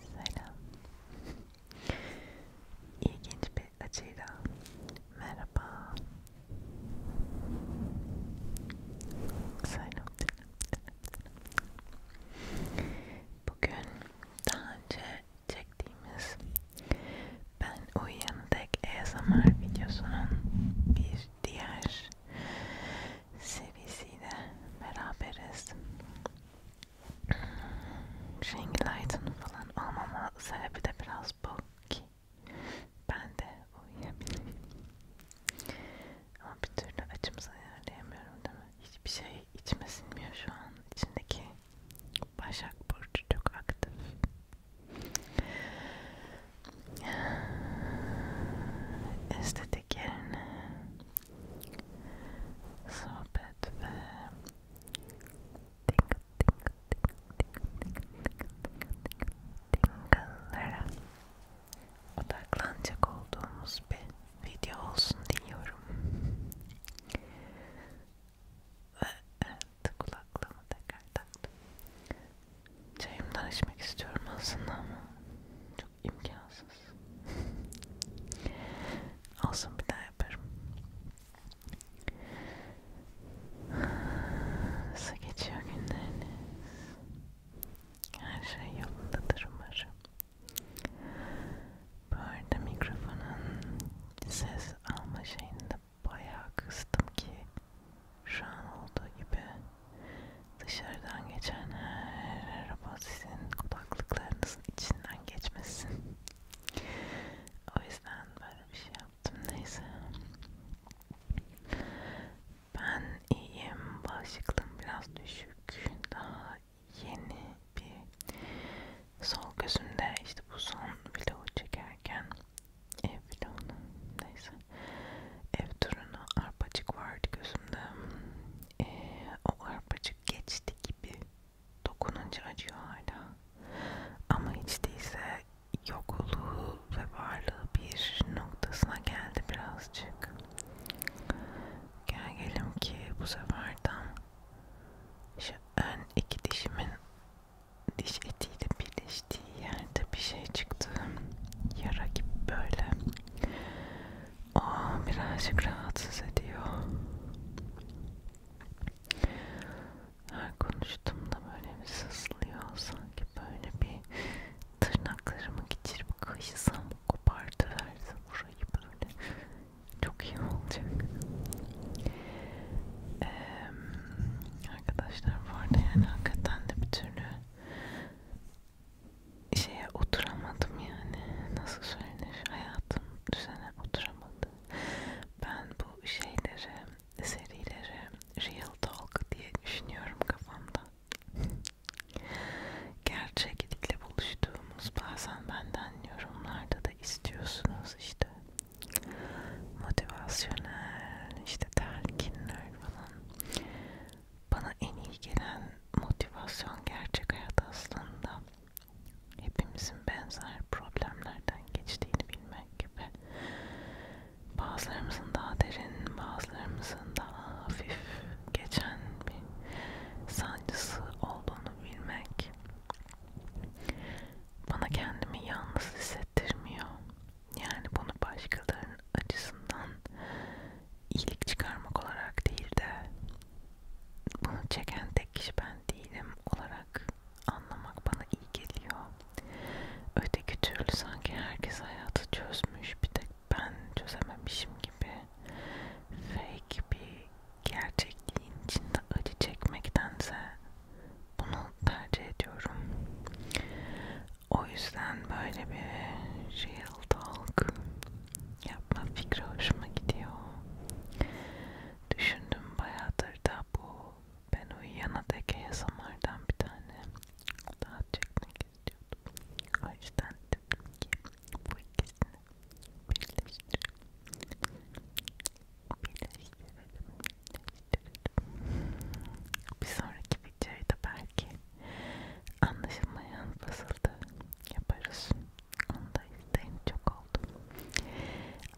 Selam. İlginç bir açıyla merhaba. Selam. Bugün daha önce çektiğimiz ben uyuyan tek ASMR e videosunun bir diğer seviyesiyle beraberiz. Şengilaytın falan almama sebebi de biraz bu ki ben de uyuyabileyim. Ama bir türlü açımızı ayarlayamıyorum değil mi? Hiçbir şey içime sinmiyor şu an. İçindeki Başak Burcu çok aktif. Estetik yerine sohbet ve tingle tingle tingle tingle tingle'lara odaklanacak olduğumuz bir video olsun diliyorum. Ve evet, kulaklığımı tekrar taktım. Çayımdan içmek istiyorum aslında ama çok imkansız. Olsun bir daha yaparım. Nasıl geçiyor günleriniz? Her şey yolundadır umarım. Bu arada mikrofonun ses alma şeyinde bayağı kıstım ki şu an olduğu gibi Dışarıdan geçen her araba sizin kulaklıklarınızın içinden geçmesin. O yüzden böyle bir şey yaptım. Neyse. Ben iyiyim. Bağışıklığım biraz düşük. Daha yeni bir sol gözümde işte bu son vlogu çekerken ev vlogu neyse ev turunu arpacık vardı gözümde e, o arpacık geçti gibi dokununca acıyor hala ama hiç değilse yokluğu ve varlığı bir noktasına geldi birazcık gel gelim ki bu sefer tam şu ön iki dişimin diş etiyle birleştiği yerde bir şey çıktı yara gibi böyle o birazcık rahatsız ediyor. Her konuştuğumda böyle bir sızlıyor sanki böyle bir tırnaklarımı geçirip kıyısam kopartıverse burayı böyle çok iyi olacak. Ee, arkadaşlar bu arada yani hakikaten de bir türlü şeye oturamadım yani nasıl söylenir hayatım düzene oturamadı ben bu şeyleri serileri real talk diye düşünüyorum kafamda gerçeklikle buluştuğumuz bazen benden yorumlarda da istiyorsunuz işte motivasyonel işte telkinler falan bana en iyi gelen motivasyon gerçek hayat aslında hepimizin benzer problemlerden geçtiğini bilmek ve bazılarımızın daha derin, bazılarımızın daha hafif geçen bir sancısı olduğunu bilmek bana kendimi yalnız hissettirmiyor. Yani bunu başkalarının acısından iyilik çıkarmak olarak değil de bunu çeken tek kişi ben değilim olarak anlamak bana iyi geliyor. Öteki türlü sanki herkes hayatı çözmüş bir tek ben çözememişim gibi fake bir gerçekliğin içinde acı çekmektense bunu tercih ediyorum. O yüzden böyle bir real talk yapma fikri hoşuma gidiyor. Düşündüm bayağıdır da bu ben uyuyana dek ASMR'dan bir tane daha çekmek istiyordum. O yüzden dedim ki bu ikisini birleştirelim. Birleştirelim. birleştirelim. Bir sonraki videoyu da belki Anlaşılmayan fısıltı yaparız. Onu da isteyin çok oldu.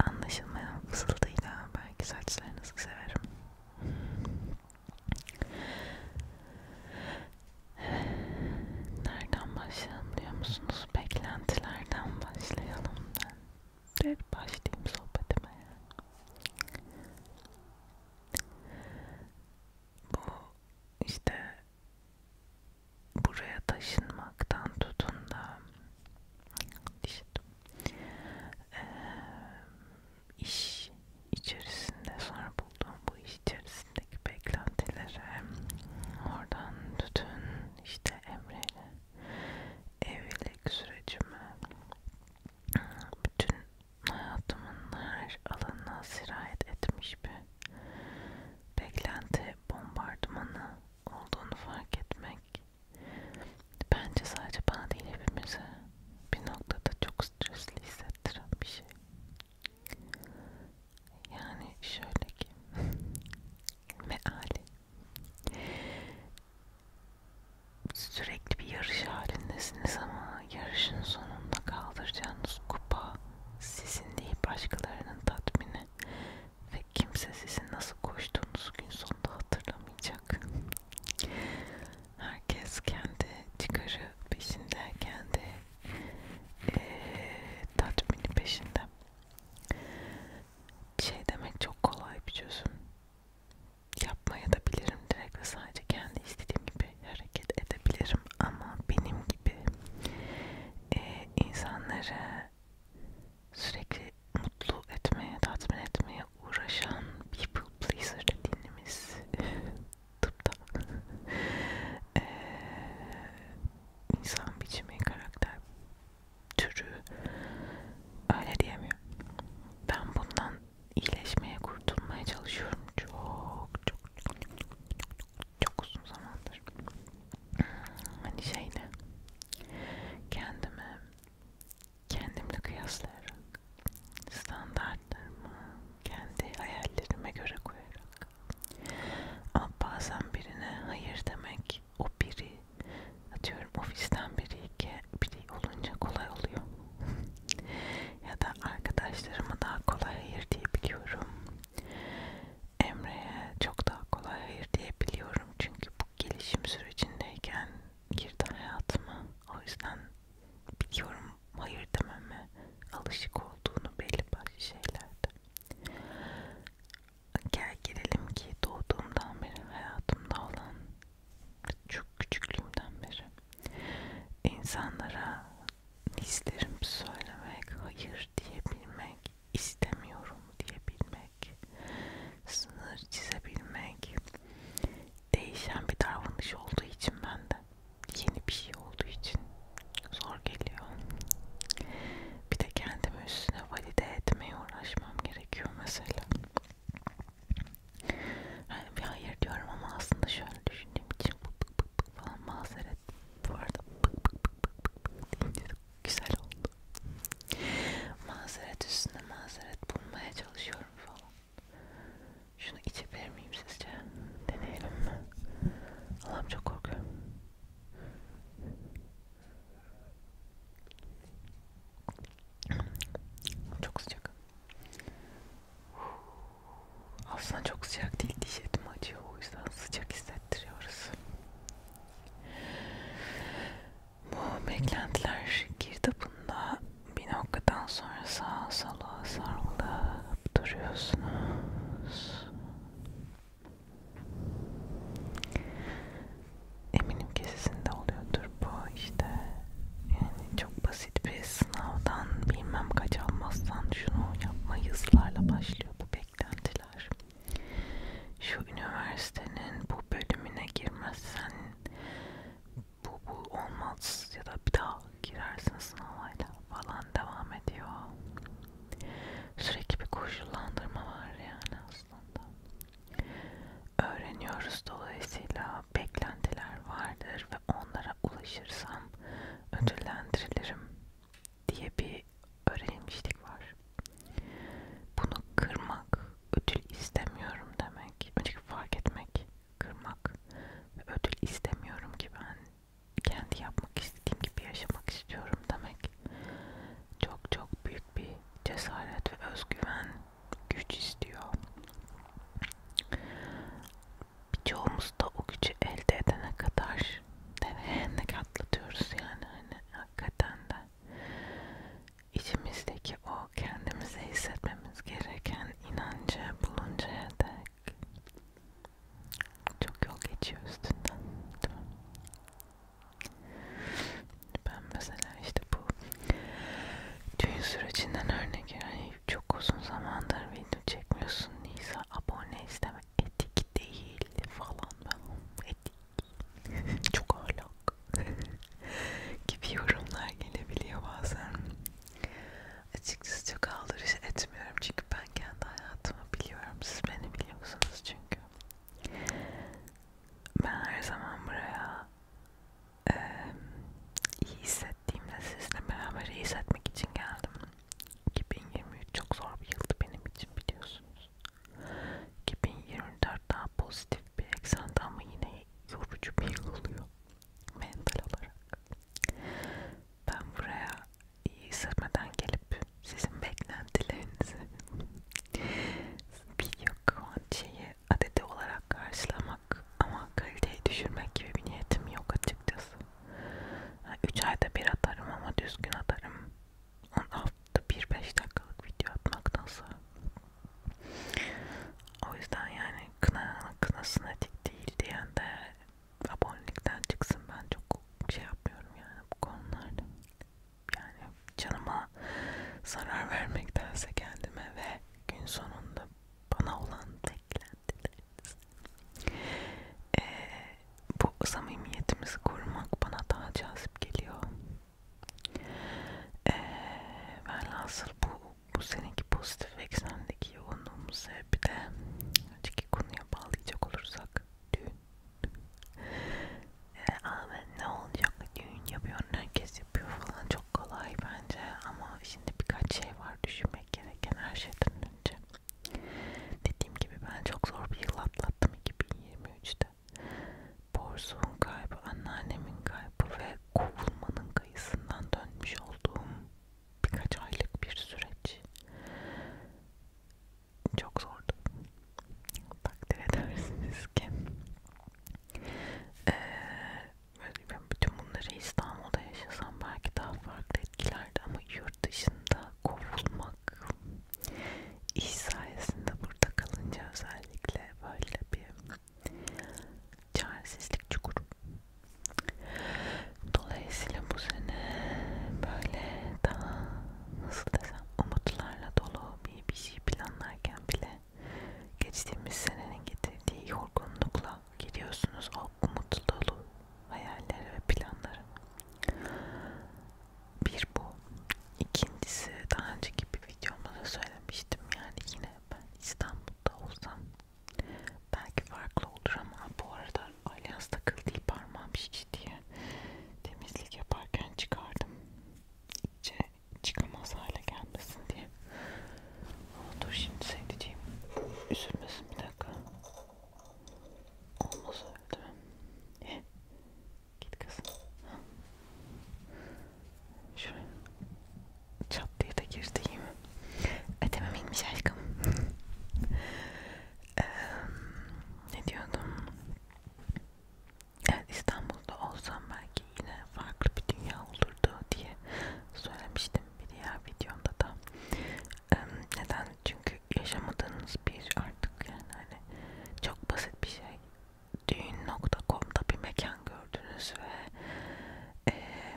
Anlaşılmayan fısıltıyla belki saçlarınızı severim. Nereden başlayalım diyor musunuz? Beklentilerden başlayalım ben. Direkt başlayayım sohbetime. Bu işte buraya taşınmaktan tutun da işte, e, iş içerisinde sonra bulduğum bu iş içerisindeki beklentilere oradan tutun işte Emre'yle evlilik sürecime bütün hayatımın her alanına sirayet etmiş bir beklenti bombardımanı olduğunu fark etmek bence sadece bana değil hepimize bir noktada çok stresli hissettiren bir şey. Yani şöyle ki meali sürekli bir yarış halindesiniz ama yarışın sonunda kaldıracağınız kupa sizin değil başkalarının tatmini ve kimse sizin nasıl koştuğunuz gün sonunda hatırlamayacak. Herkes kendi çıkarı peşinde, kendi e, tatmini peşinde. Bir şey demek çok kolay bir çözüm. Yapmaya da bilirim direkt ve sadece kendi istediğim gibi gibi hareket edebilirim ama benim gibi e, insanları sürekli mutlu etmeye, tatmin etmeye uğraşan people pleaser dediğimiz tıpta e, insan biçimi, karakter türü öyle diyemiyorum. Ben bundan iyileşmeye, kurtulmaya çalışıyorum. Çok çok çok çok uzun zamandır hani şeyle kendimi kendimle kıyaslayarak standartlarımı kendi hayallerime göre koyarak ama bazen birine hayır demek o biri atıyorum ofisten biri iki biri olunca kolay oluyor ya da arkadaşlarıma daha kolay hayır diyebiliyorum. Emre'ye çok daha kolay hayır diyebiliyorum çünkü bu gelişim sürecindeyken girdi hayatıma. O yüzden biliyorum hayır dememe alışık olduğunu belli başlı şeylerde. Gel gelelim ki doğduğumdan beri hayatımda olan çok küçüklüğümden beri insanlara hislerimi söylemek, hayır diyebilmek, istemiyorum diyebilmek, sınır çizebilmek değişen bir davranış olduğu için bende yeni bir şey olduğu için zor geliyor. Bir de kendimi üstüne valide etmeye uğraşmam gerekiyor mesela. Yani bir hayır diyorum ama aslında şöyle düşündüğüm için bu, bu, bu, pık falan mazeret bu arada pık pık pık pık pık deyince güzel oldu mazeret üstüne mazeret bulmaya çalışıyorum falan şunu içebilir miyim sizce? deneyelim mi? Allah'ım çok korkuyorum çok sıcak aslında çok sıcak değil diş etimi acıyor o yüzden sıcak hissettiriyoruz. Bu beklentiler girdabında bir noktadan sonra sağa sola sarılıp duruyorsunuz. Eminim ki sizin de oluyordur bu işte. Yani çok basit basit bir sınavdan bilmem kaç almazsan şunu yapmayı ısrarla başlıyor bu beklentiler. Şu üniversitenin bu bölümüne girmezsen bu bu olmaz ya da bir daha girersin sınavayla falan devam ediyor. Sürekli bir koşullandırma var yani aslında. Öğreniyoruz dolayısıyla beklentiler vardır ve onlara ulaşırsam ödüllendirilirim diye bir öğrenmişlik var. Bunu kırmak ödül istemiyorum demek. Önce fark etmek, kırmak ve ödül istemiyorum ki ben kendi yapmak istediğim gibi yaşamak istiyorum demek. Çok çok büyük bir cesaret ve özgüven güç istiyor birçoğumuz da o gücü elde edene kadar devrenek atlatıyoruz yani hani hakikaten de içimizdeki o kendimize hissetmemiz gereken inancı buluncaya dek çok yol geçiyor üstünden değil mi? Ben mesela işte bu düğün sürecinden örnek yani çok uzun zamandır video çekmiyorsun Nisa. Abone isteme. Etik değil falan. Etik. Çok ahlak. gibi yorumlar gelebiliyor bazen. Açıkçası çok aldırış etmiyorum çünkü ben kendi hayatımı biliyorum. Siz beni biliyorsunuz çünkü. Ben her zaman buraya e, iyi hissettiğim hissettiğimde sizle beraber iyi hissetmek için geldim. 2023 çok zor bir yıldı benim için biliyorsunuz. 2024 daha pozitif bir eksende ama yine yorucu bir yıl oluyor mental olarak. Ben buraya iyi hissetmeden gelip sizin beklentilerinizi video şeyi adeti olarak karşılamak ama kaliteyi düşürmek gibi bir niyetim yok açıkçası. 3 ayda bir atarım ama düzgün atarım. Onu hafta 1-5 dakikalık video atmaktansa. O yüzden yani kına, kınasına dik değil diyen de abonelikten çıksın. Ben çok şey yapmıyorum yani bu konularda. Yani canıma zarar vermektense kendime ve gün sonunda bana olan beklentim dileriz. Ee, bu samimiyetimizi korumak bana daha cazip geliyor. Ee, velhasıl bu, bu seneki pozitif eksendeki yoğunluğumuz sebebi de önceki konuya bağlayacak olursak düğün. Ee, abi ne olacak düğün yapıyorsun herkes yapıyor falan çok kolay bence ama şimdi birkaç şey var düşünmek gereken her şeyden önce. Dediğim gibi ben çok zor bir yıl atlattım 2023'te. Borsu'nun kaybı, anneannemin kaybı ve kovulmanın kayısından dönmüş olduğum birkaç aylık bir süreç. Çok zordu. Takdir edersiniz ki. Ee, bütün bunları İstanbul'da yaşasam belki daha farklı etkilerdi ama yurt dışında kovulmak iş sayesinde burada kalınca özellikle böyle bir çaresizlik çukuru. Dolayısıyla bu sene böyle daha nasıl desem umutlarla dolu bir, bir şey planlarken bile geçtiğimiz senenin getirdiği yorgunlukla gidiyorsunuz o umut dolu hayalleri ve planları. Bir bu. İkincisi daha önceki bir videomda da söylemiştim yani yine ben İstanbul'da olsam belki farklı olur ama bu arada Alyans takıldığı parmağım şişti diye temizlik yaparken çıkardım. İyice çıkamaz hale gelmesin diye. Dur şimdi seyredeceğim. Üzülmesin bir dakika. Olmaz öyle değil mi? He. Git kızım. Ha. Şuraya. Çat diye de girdi iyi mi? Ödemem inmiş aşkım. ee, ne diyordum? Evet, İstanbul'da olsam belki yine farklı bir dünya olurdu diye söylemiştim bir diğer videomda da neden? Çünkü yaşamadığınız bir artık yani hani çok basit bir şey. Düğün.com'da bir mekan gördünüz ve e,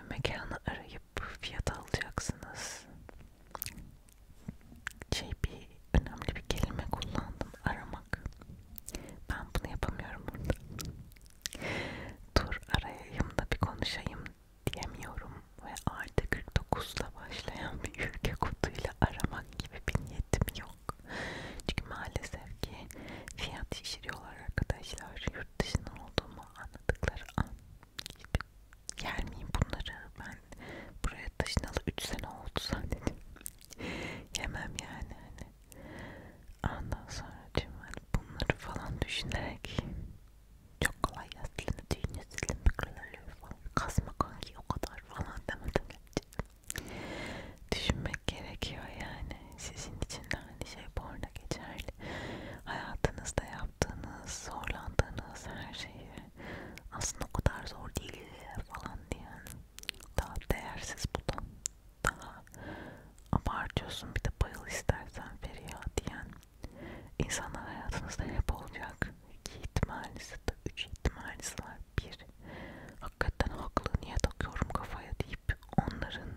mekanı arayıp fiyat alacaksınız. Şey bir önemli bir kelime kullandım aramak. Ben bunu yapamıyorum burada. Dur arayayım da bir konuşayım diyemiyorum ve artı 49'la başlayan bir ülke koduyla aramak gibi bir niyetim yok. Çünkü maalesef ki fiyat şişiriyorlar arkadaşlar. Yurt dışından olduğumu anladıkları an. Gelmeyeyim bunları. Ben buraya taşınalı 3 sene oldu zannediyorum. Yemem yani hani. Ondan sonra bunları falan düşünerek çok kolay ya silme düğüne silme kırılır falan. Kasma kanki o kadar falan demedim. Düşünmek gerekiyor yani. Sizin için de aynı şey bu arada geçerli. Hayatınızda yaptığınız, zorlandığınız her şeyi aslında o kadar zor değil falan diyen daha değersiz bulan, daha abartıyorsun bir de bayıl istersen Feriha diyen İnsanlar hayatınızda hep olacak. İki ihtimalisi de üç ihtimalisi var. Bir, hakikaten haklı niye takıyorum kafaya deyip onların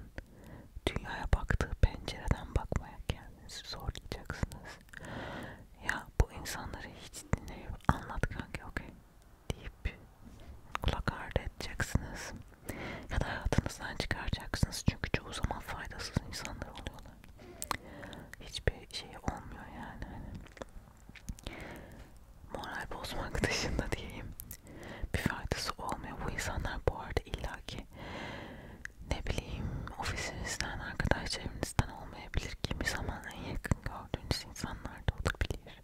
dünyaya baktığı pencereden bakmaya kendinizi zorlayacaksınız. Ya bu insanları hiç dinleyip anlat kanka okey deyip kulak ardı edeceksiniz. Ya da hayatınızdan çıkaracaksınız çünkü çoğu zaman faydasız insanlar oluyorlar hiçbir şey olmuyor yani hani moral bozmak dışında diyeyim bir faydası olmuyor bu insanlar bu arada illaki ne bileyim ofisinizden arkadaş çevrenizden olmayabilir kimi zaman en yakın gördüğünüz insanlar da olabilir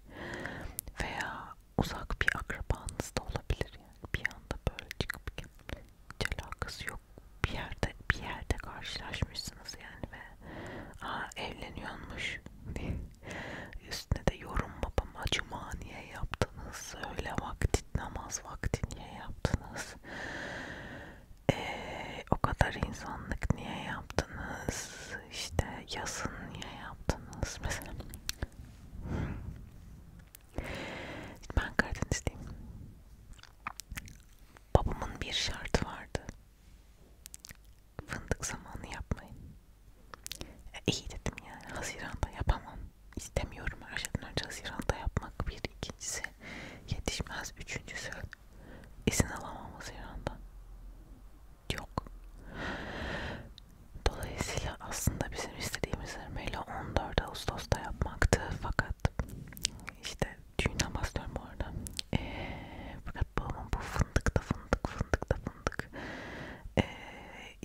veya uzak bir akrabanız da olabilir yani bir anda böyle çıkıp hiç alakası yok. Bir yerde bir yerde karşılaşmışsınız yani ve aa evleniyormuş üstüne de yorum babam acıma niye yaptınız öyle vakti namaz vakti niye yaptınız ee, o kadar insanlık niye yaptınız işte yazın niye yaptınız mesela ben Karadenizliyim. Babamın bir şartı vardı. Fındık zamanı yapmayın. E, iyi dedim yani. Haziranda yapamam. İstemiyorum her şeyden önce Haziran'da yapmak. Bir ikincisi yetişmez. Üçüncüsü izin alamam Haziran'da. Yok. Dolayısıyla aslında bizim istediğimiz Ermeli 14 Ağustos'ta yapmaktı. Fakat yaptım. İşte düğünden bahsediyorum bu arada. Ee, fakat babamın bu fındıkta fındık fındıkta fındık ee,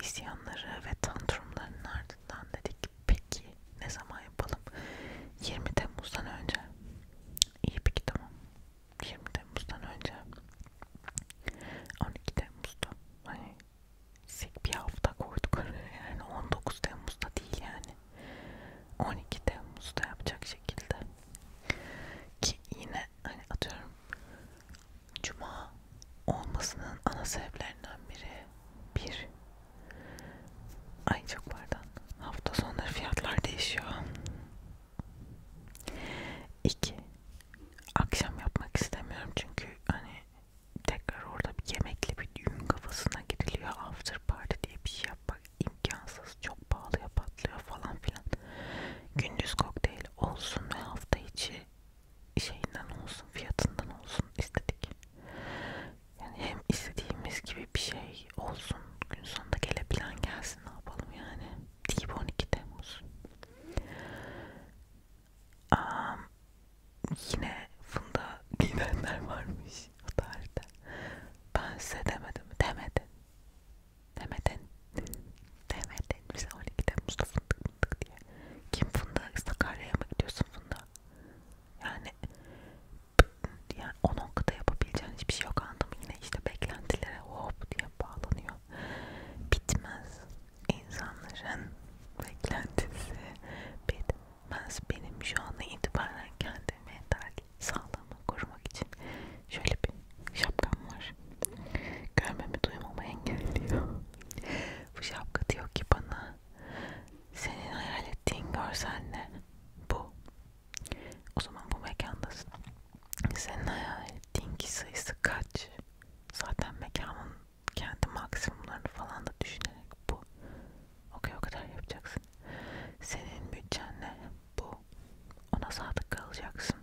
isyanları ve tantrumlarının ardından dedik peki ne zaman yapalım? 20 Temmuz'dan önce. İyi peki tamam. 20 Temmuz'dan önce. 12 Temmuz'da. Hani sik bir hafta koyduk araya yani 19 Temmuz'da değil yani 12 Temmuz'da yapacak şekilde ki yine hani atıyorum Cuma olmasının ana sebeplerinden biri bir ay çok pardon hafta sonları fiyatlar değişiyor iki akşam yapmak istemiyorum çünkü hani tekrar orada bir yemekli bir düğün kafasına giriliyor. After party diye bir şey yapmak imkansız. Çok pahalıya patlıyor falan filan. Gündüz kokteyl olsun ve hafta içi şeyinden olsun, fiyatından olsun istedik. Yani hem istediğimiz gibi bir şey olsun. Gün sonunda gelebilen gelsin ne yapalım yani. Değil 12 Temmuz. Um, yine funda giyinenler varmış o tarihte. Ben size demedim. Demedin. Demedin. Demedin. Bize 12 Temmuz'da fındık fındık diye. Kim funda? İstakarya'ya mı gidiyorsun funda? Yani yani o noktada yapabileceğin hiçbir şey yok anladım. Yine işte beklentilere hop diye bağlanıyor. Bitmez. İnsanların beklentisi bitmez ben benim şu ana itibaren kendi mental sağlığımı korumak için şöyle bir şapkam var. Görmemi duymamı engelliyor. Bu şapka diyor ki bana senin hayal ettiğin görsel ne? Bu. O zaman bu mekandasın. Senin hayal ettiğin kişi sayısı kaç? Zaten mekanın kendi maksimumlarını falan da düşünerek bu okey o kadar yapacaksın. Senin bütçenle bu ona sadık kalacaksın.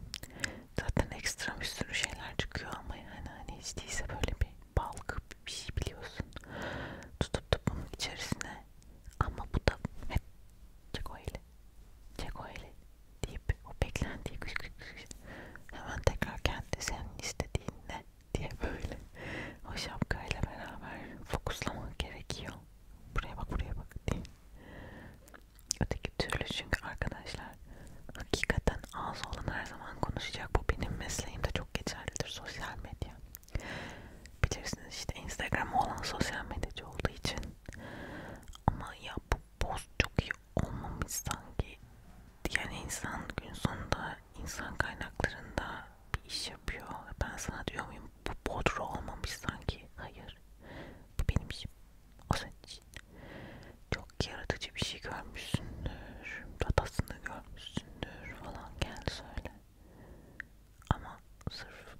Zaten ekstra bir sürü şeyler çıkıyor ama yani hani hiç değilse böyle bir balkı bir şey biliyorsun. Tutup da bunun içerisine ama bu da hep çek o eli, çek o eli deyip o beklentiyi hemen tekrar kendi senin istediğinle diye böyle o şapkayla beraber fokuslamak gerekiyor. Buraya bak buraya bak diye. Öteki türlü çünkü arkadaşlar hakikaten ağzı olan her zaman konuşacak. Bu benim mesleğimde çok geçerlidir sosyal medya. Bilirsiniz işte Instagram olan sosyal medyacı olduğu için. Ama ya bu poz çok iyi olmamış sanki. Yani insan gün sonunda insan kaynaklarında bir iş yapıyor. Ben sana diyor muyum bu bodro olmamış sanki. Hayır. Bu benim işim. O senin için. Çok yaratıcı bir şey görmüşsündür. Datasını görmüşsündür falan. Gel söyle. Ama sırf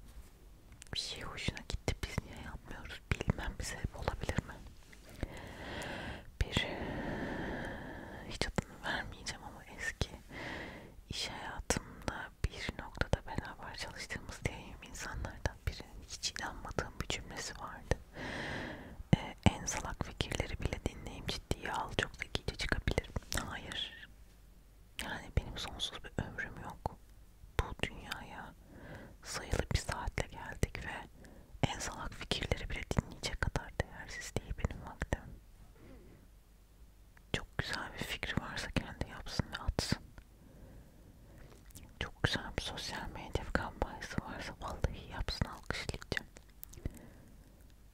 bir şey hoşuna gitti. Biz niye yapmıyoruz? Bilmem bir sebep olabilir mi? Bir hiç adını vermeyeceğim ama eski ki iş hayatımda bir noktada beraber çalıştığımız diyeyim insanlardan birinin hiç inanmadığım bir cümlesi vardı. Ee, en salak fikirleri bile dinleyeyim ciddiye al çok zekice çıkabilirim. Hayır. Yani benim sonsuz bir ömrüm yok. Bu dünyaya sayılı bir saatle geldik ve en salak fikirleri bile dinleyecek kadar değersiz değil benim vaktim. Çok güzel bir fikri varsa kendi yapsın ve atsın. Çok güzel bir sosyal medya kampanyası varsa vallahi yapsın alkışlayacağım.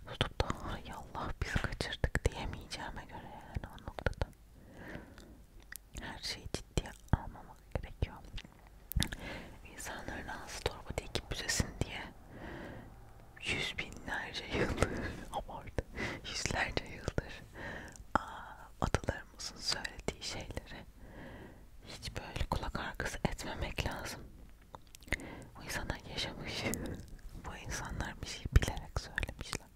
Tutup da ay Allah biz kaçırdık diyemeyeceğime göre yani o noktada. Her şeyi ciddiye almamak gerekiyor. İnsanların ağzı torba değil ki büzesin diye yüz binlerce yıldır, abartı, yüzlerce yıldır atalarımızın söylediği şeyleri hiç böyle kulak arkası etmemek lazım. Bu insanlar yaşamış, bu insanlar bir şey bilerek söylemişler.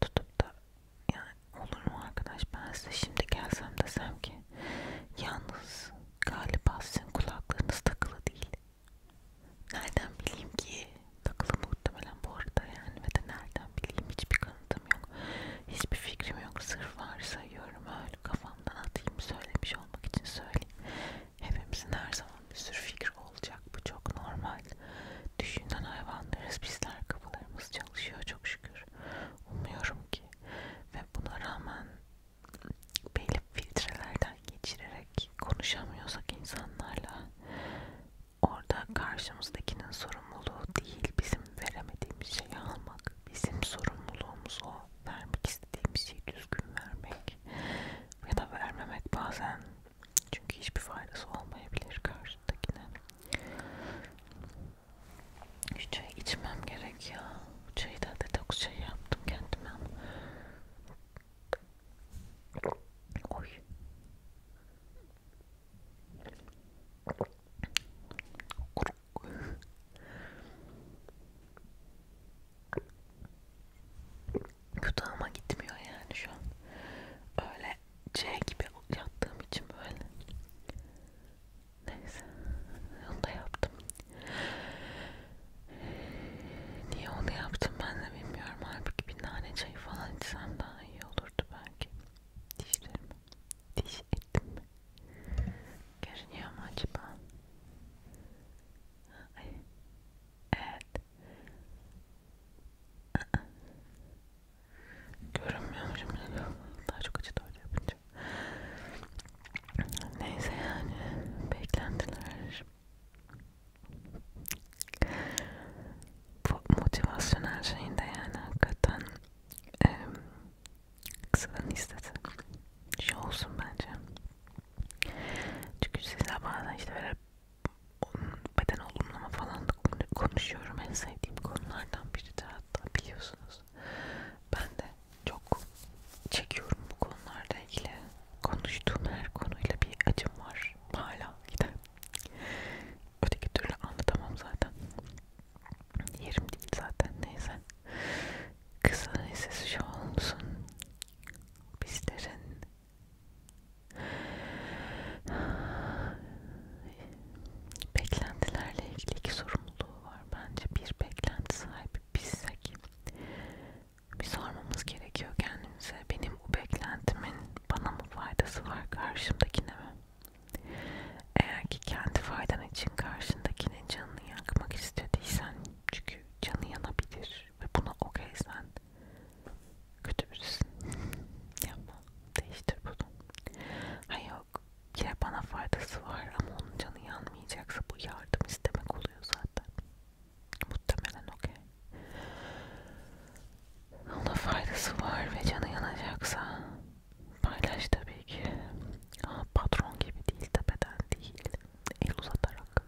Tutup da yani olur mu arkadaş ben size şimdi gelsem desem ki yalnız galiba sizin kulaklarınız takılı değil Nereden bileyim ki? Takılı muhtemelen bu arada yani ve de nereden bileyim hiçbir kanıtım yok. Hiçbir fikrim yok. Sırf varsayıyorum öyle kafamdan atayım söylemiş olmak için söyleyeyim. Hepimizin her zaman bir sürü fikri olacak. Bu çok normal. Düşünen hayvanlarız bizler kafalarımız çalışıyor çok şükür. Umuyorum ki ve buna rağmen belli filtrelerden geçirerek konuşamıyorsak insanlarla orada karşımızdakinin sorumluluğu değil bizim veremediğimiz şeyi almak bizim sorumluluğumuz o vermek istediğimiz şeyi düzgün vermek ya da vermemek bazen çünkü hiçbir faydası olmayabilir karşındakine şu çayı içmem gerek ya çayı da detoks çayı yaptım kendime Oy. Yutağıma gitmiyor yani şu an. Öyle C gibi yattığım için böyle. Neyse. Onu da yaptım. Niye onu yaptım ben de bilmiyorum. Halbuki bir nane çayı falan içsem daha iyi olurdu belki. Dişlerim. Diş ettim mi? Görünüyor mu acaba? Ay. Evet. Görünmüyor şimdi. Daha çok acı öyle yapınca. Neyse yani beklentiler bu motivasyonel şeyin de yani hakikaten e, kısılan istedi. Şey olsun bence. Çünkü sizler bazen işte böyle beden olumlama falan da konuşuyorum en sevdiğim konulardan biri de hatta biliyorsunuz. Ben de çok çekiyorum bu konularla ilgili. Konuştuğum her konuyla bir acım var. Hala gider. Öteki türlü anlatamam zaten. Yerim değil zaten neyse. Kızın sesi şu olsun. Bizlerin beklentilerle ilgili iki sorumluluğu var. Bence bir beklenti sahibi bizsek bir sormamız gerekiyor kendimize. Benim bu beklentimin bana mı faydası var karşımdakine mi? Eğer ki kendi faydan için karşındakinin canını yakmak istediysen çünkü canı yanabilir ve buna okeysen kötü birisin. Yapma. Değiştir bunu. Hayır yok. Ya bana faydası var ama onun canı yanmayacaksa bu yardım istemek oluyor zaten. Muhtemelen okey. Ona faydası var ve canı yanacaksa paylaş tabii ki. Aa, patron gibi değil, tepeden değil. El uzatarak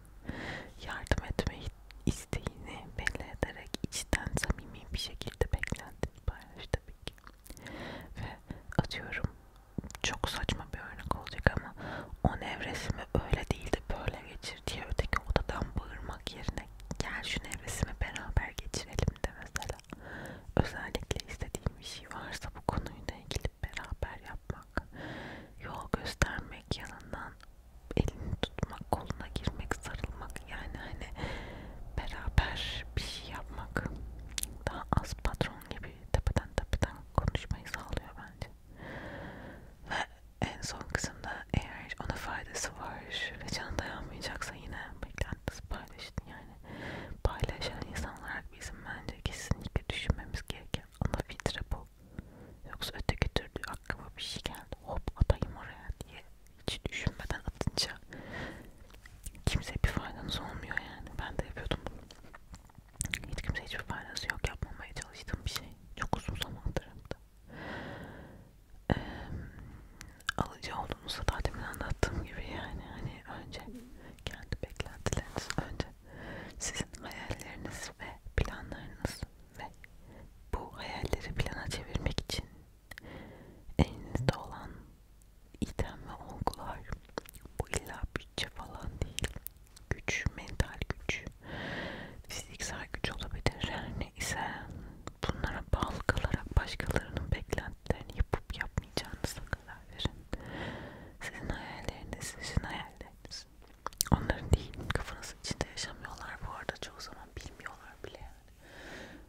yardım etmeyi isteğini belli ederek içten samimi bir şekilde beklentini paylaş tabii ki. Ve atıyorum çok saçma bir örnek olacak ama on evresimi öyle değildi böyle geçir diye öteki odadan bağırmak yerine gel şu evresimi beraber geçirelim de mesela. Özellikle istediğim bir şey varsa bu konuyla ilgili beraber yapmak, yol göstermek, yanından elini tutmak, koluna girmek, sarılmak yani hani beraber bir şey yapmak daha az patron gibi tepeden tepeden konuşmayı sağlıyor bence en son kısımda eğer ona faydası var ve canı dayanmayacaksa yine beklentisi paylaşın yani paylaşan insan olarak bizim bence kesinlikle düşünmemiz gereken ana filtre bu yoksa öteki türlü aklıma bir şey geldi hop atayım oraya diye hiç düşünmeden atınca kimseye bir faydanız olmuyor yani ben de yapıyordum bunu hiç kimse hiçbir faydası yok yapmamaya çalıştığım bir şey çok uzun zamandır ee, alıcı olduğunuzu da demin anlattığım gibi yani hani önce kendi beklentileriniz önce sizin hayalleriniz ve planlarınız ve bu hayalleri plana çevirmek için elinizde olan item ve olgular bu illa bütçe falan değil güç, mental güç, fiziksel güç olabilir. Yani ise bunlara bağlı kalarak başkalarının beklentilerini yapıp yapmayacağınıza karar verin. Sizin hayalleriniz, sizin hayalleriniz. Onların değil, kafanız içinde yaşamıyorlar. Bu arada çoğu zaman bilmiyorlar bile yani.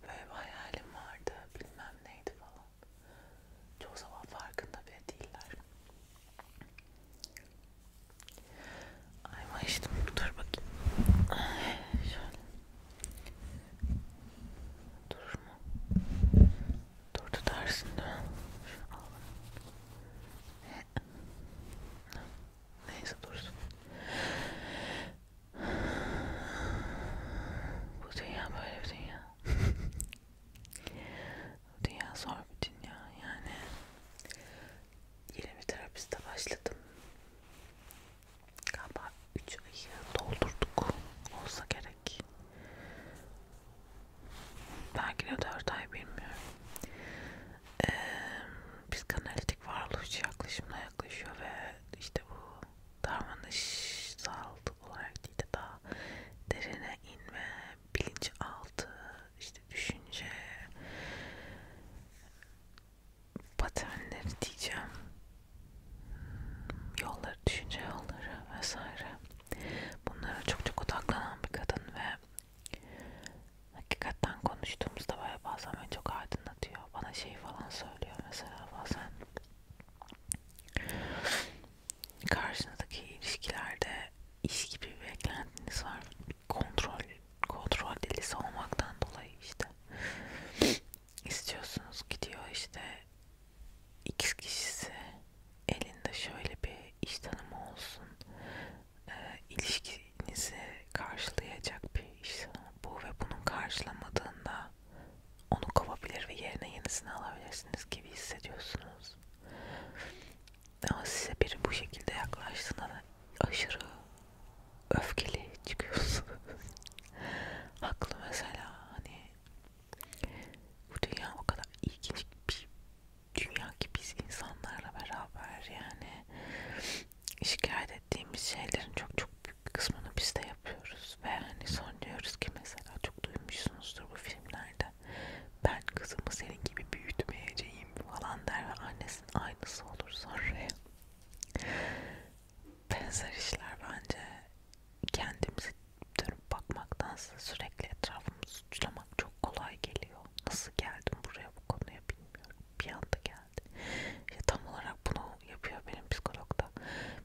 Böyle bir hayalim vardı, bilmem neydi falan. Çoğu zaman farkında bile değiller. Ayma işte dur bakayım. Şöyle. Durur mu? Dur tutarsın değil mi? Şunu al. Neyse dursun. Bu dünya böyle bir dünya. Dünya zor bir dünya yani. Yeni bir terapiste başladım. Galiba 3 ayı doldurduk olsa gerek. Belki de 4 ay bilmiyorum. Ee, psikanalitik varoluş yaklaşımla yaklaşıyor ve işte bu davranışsal olarak değil de daha derine inme bilinçaltı, işte düşünce paternleri diyeceğim yolları, düşünce yolları vesaire bunlara çok çok odaklanan bir kadın ve hakikaten konuştuğumuzda böyle bazen beni çok aydınlatıyor bana şey falan söylüyor mesela bazen karşınızdaki ilişkilerde iş gibi bir beklentiniz var. Kontrol, kontrol delisi olmaktan dolayı işte istiyorsunuz gidiyor işte x kişisi elinde şöyle bir iş tanımı olsun e, ilişkinizi karşılayacak bir iş tanımı bu ve bunun karşılamadığında onu kovabilir ve yerine yenisini alabilirsiniz gibi hissediyorsunuz ama size biri bu şekilde yaklaştığında da aşırı öfkeli çıkıyorsun. Haklı mesela hani bu dünya o kadar ilginç bir dünya ki biz insanlarla beraber yani şikayet ettiğimiz şeylerin çok çok büyük bir kısmını biz de yapıyoruz ve hani son diyoruz ki mesela çok duymuşsunuzdur bu filmlerde ben kızımı senin gibi büyütmeyeceğim falan der ve annesinin aynısı olur sonra. Benzer işler bence kendimizi dönüp bakmaktansa sürekli etrafımızı suçlamak çok kolay geliyor. Nasıl geldim buraya bu konuya bilmiyorum. Bir anda geldi. İşte tam olarak bunu yapıyor benim psikologda.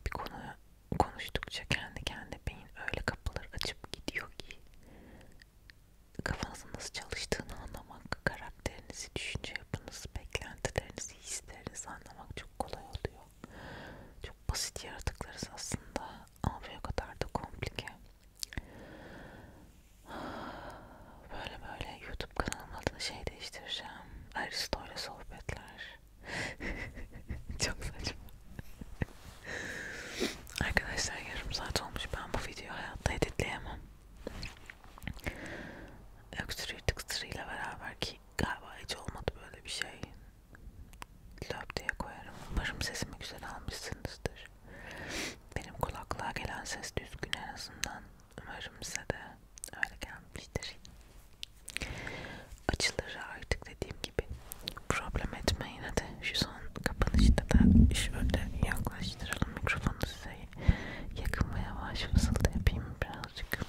Bir konuya konuştukça kendi kendi beyin öyle kapılar açıp gidiyor ki kafanızın nasıl çalıştığını anlamak, karakterinizi, düşünce yapınızı, beklentilerinizi, hislerinizi anlamak çok kolay oluyor. Çok basit yaratıklarız aslında ama o kadar da komplike. Böyle böyle YouTube kanalımın adını şey değiştireceğim. Aristo ile sohbetler. çok saçma. Arkadaşlar yarım saat olmuş. Ben bu videoyu hayatta editleyemem. Öksürüğü tıksırıyla beraber ki galiba hiç olmadı böyle bir şey. Löp diye koyarım. Umarım sesimi güzel almışsınızdır. Benim kulaklığa gelen ses düzgün en azından. Umarım size de öyle gelmiştir. Açıları artık dediğim gibi problem etmeyin hadi şu son kapanışta da şöyle yaklaştıralım mikrofonu size yakın ve yavaş fısıltı yapayım birazcık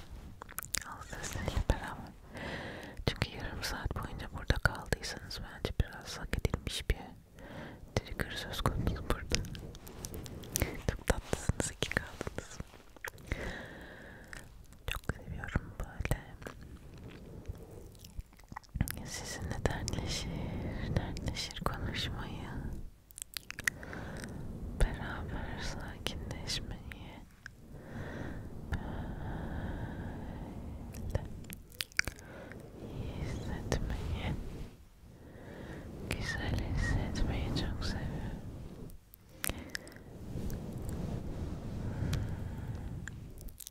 al sesiyle beraber çünkü yarım saat boyunca burada kaldıysanız bence biraz hak edilmiş bir trigger söz konusu burada çok tatlısınız iki kaldınız çok seviyorum böyle sizinle dertleşir, dertleşir konuşmayı, beraber sakinleşmeyi, böyle iyi hissetmeyi, güzel hissetmeyi çok seviyorum.